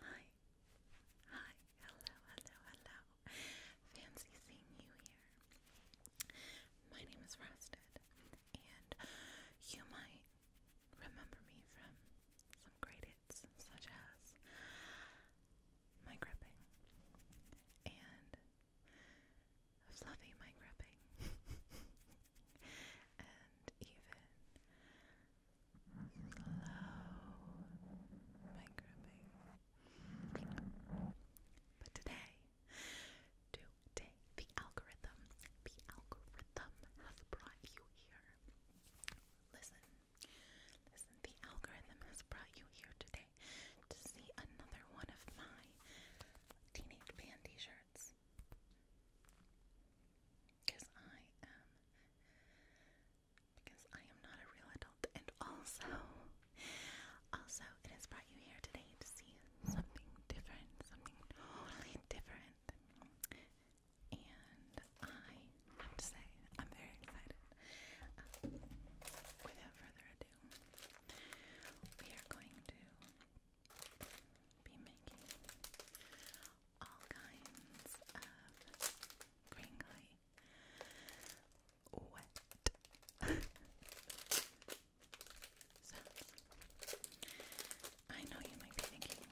Hi. Hi. Hello, hello, hello. Fancy seeing you here. My name is Frosted, and you might remember me from some great such as my gripping and fluffy mic rubbing and even slow mic But today, today, the algorithm, the algorithm has brought you here. Listen, listen, the algorithm has brought you here today to see another one of my Teenage Fan t shirts. Because I am. Because I am not a real adult. And also, also, it has brought you here today to see something different, something totally different. And I have to say, I'm very excited. Um, without further ado, do, we are going to be making all kinds of crinkly wet sounds. I know you might be thinking,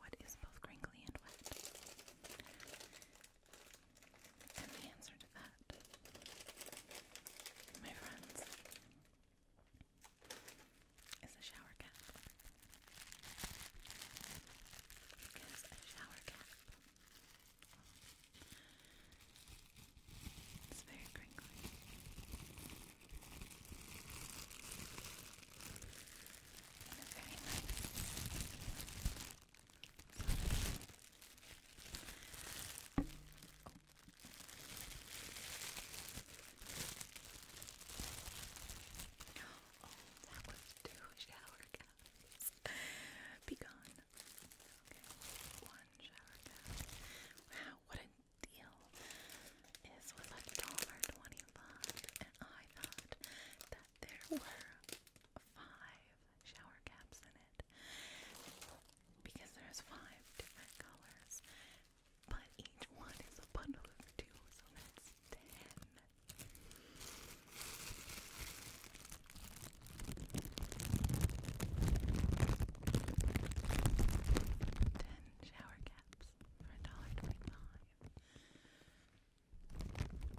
what is both crinkly and wet? And the answer to that, my friends, is a shower cap. Because a shower cap is very crinkly. very nice. Oh, that was two shower caps. Be gone. one shower cap. Wow, what a deal! This was a dollar twenty-five, and I thought that there were five shower caps in it because there's five different colors, but each one is a bundle of two, so that's ten. Ten shower caps for a dollar twenty-five.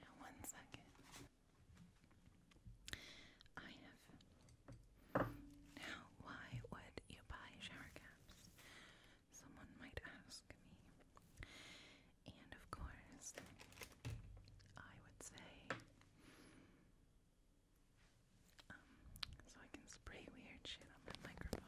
Now, one second. I have. Now, why would you buy shower caps? Someone might ask me. And of course, I would say, um, so I can spray weird shit on my microphone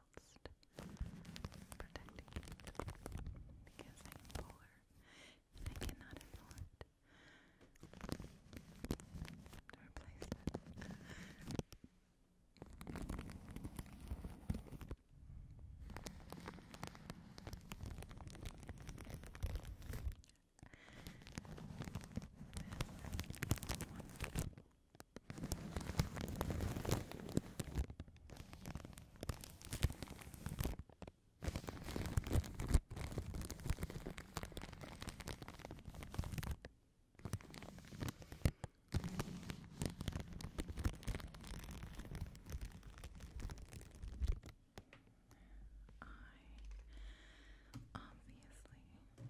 whilst protecting it because I'm poor and I cannot afford to replace it. I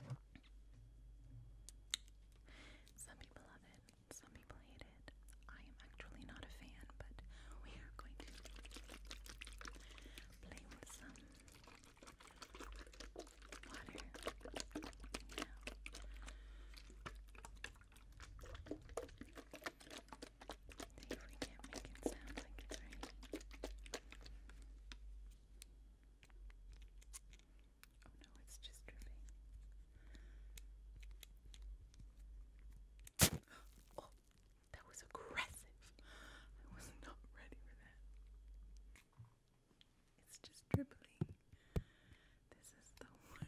obviously some people love it, some people hate it. I am actually not a fan, but we are going to play with some water now. See if we can't make it sound like it's raining. Oh no, it's just dripping. Oh, that was aggressive. I was not ready for that. It's just dribbling. This is the one.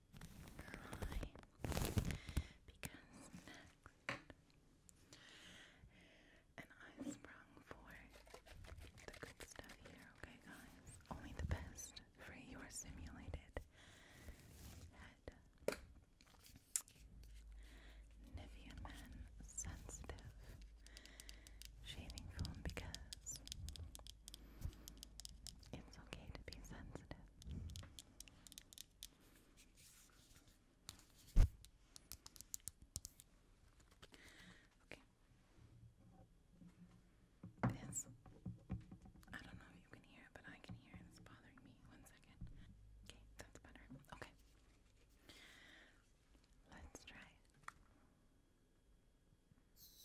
high because next and I sprung for the good stuff here, okay guys? Only the best for your simulated Nivea Men Sensitive Shaving Foam because it's okay to be sensitive. Okay. This, I don't know if you can hear but I can hear It's bothering me. One second. Okay, that's better. Okay. Let's try it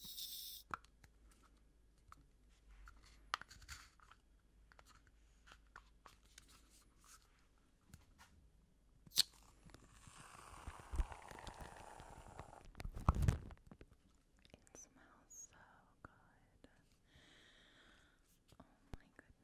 smells so good. Oh my goodness.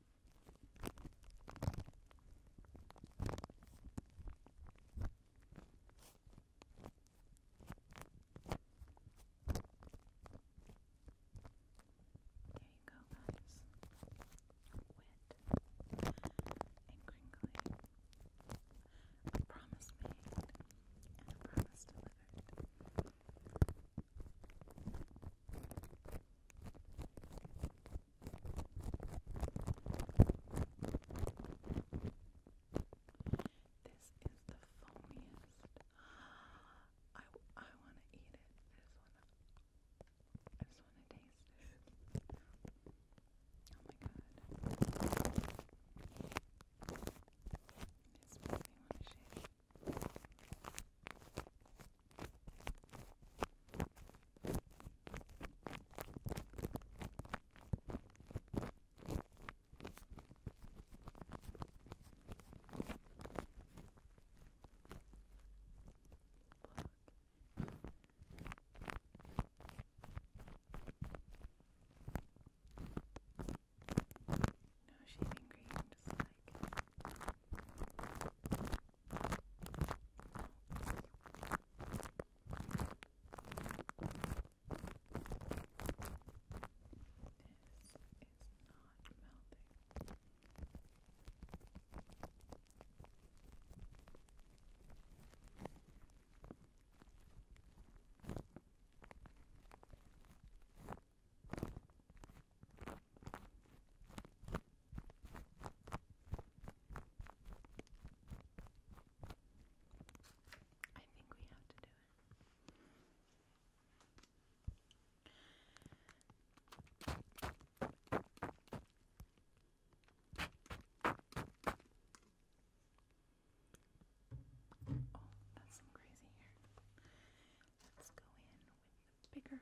There you go, guys. Wet and crinkly. A promise made and a promise delivered. This is the foamiest. I, I want to eat it. I just want to. taste it. Oh my god. This makes me want no shaving cream, just like this is not melting. This I think we have to do it. Oh, that's some crazy hair. Let's go in with the bigger brush. Okay.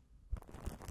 You have to.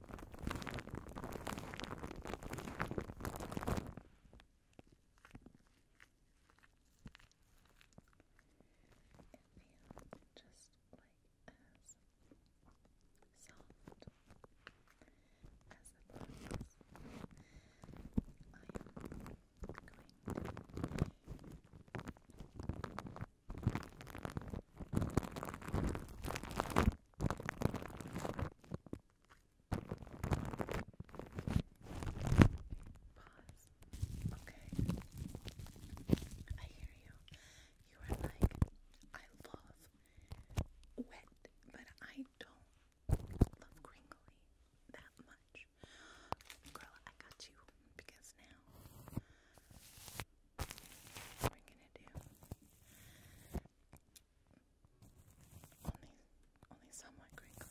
feels just like as soft as the box. I am going Pause. Okay. I hear you. You are like, I love wet, but I don't love crinkly that much. Girl, I got you because now what we're gonna do. Only, only somewhat crinkly.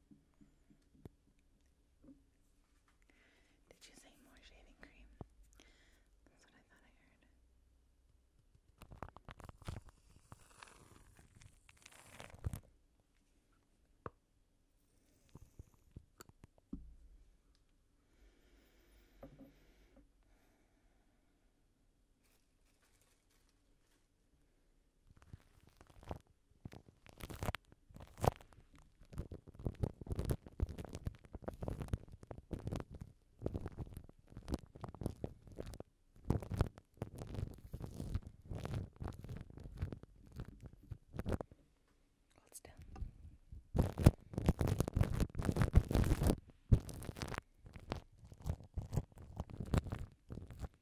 Did you say more shaving cream? That's what I thought I heard. Hold still. Good.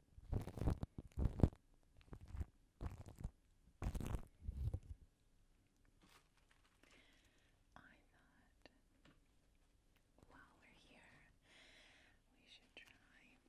I thought while we're here, we should try some sponges.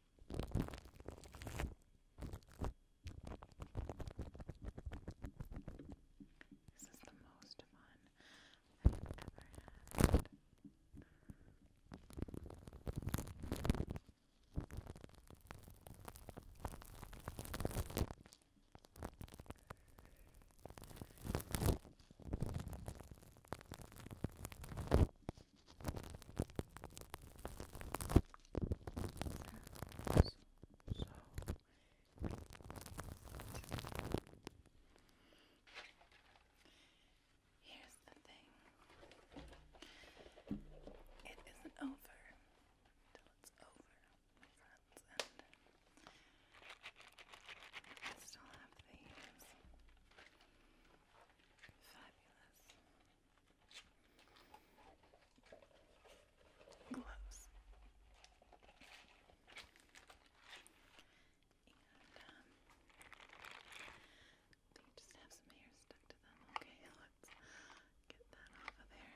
This is the most fun I've ever had. Here's the thing. It isn't over until it's over, my friends, and I still have these fabulous gloves. And um, they just have some hair stuck to them. Okay, let's get that off of there.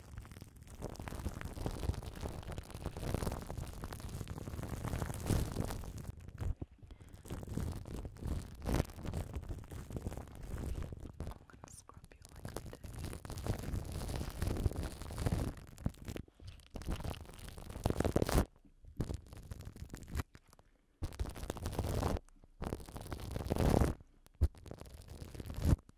I'm gonna scrub you like I did. Good.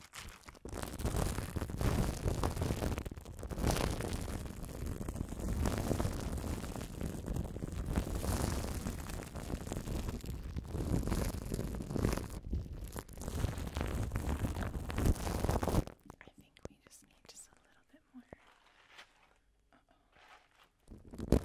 I think we just need just a little bit more. Uh oh.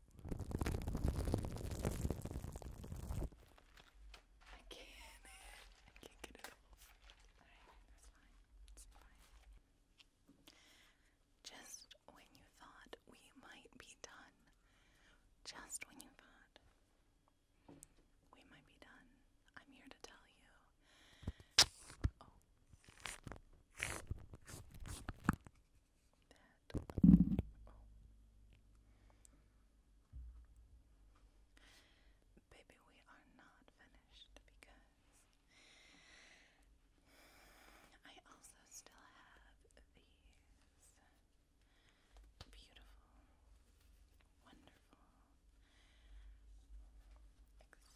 I can't. Just when you thought we might be done. Just when you thought we might be done. I'm here to tell you. Oh that. Baby, we are not finished because I also still have these beautiful, wonderful,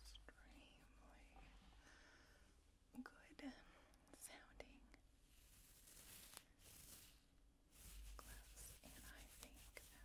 extremely good sounding gloves, and I think that.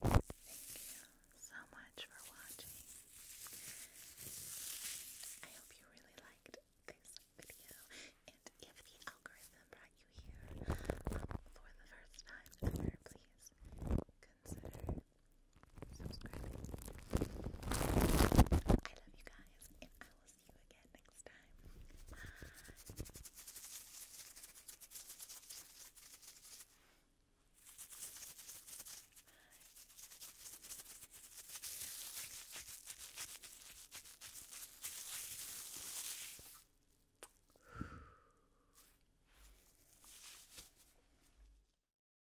Thank you so much for watching. I hope you really liked this video. And if the algorithm brought you here um, for the first time ever, please consider subscribing. I love you guys, and I will see you again next time. Bye. Bye.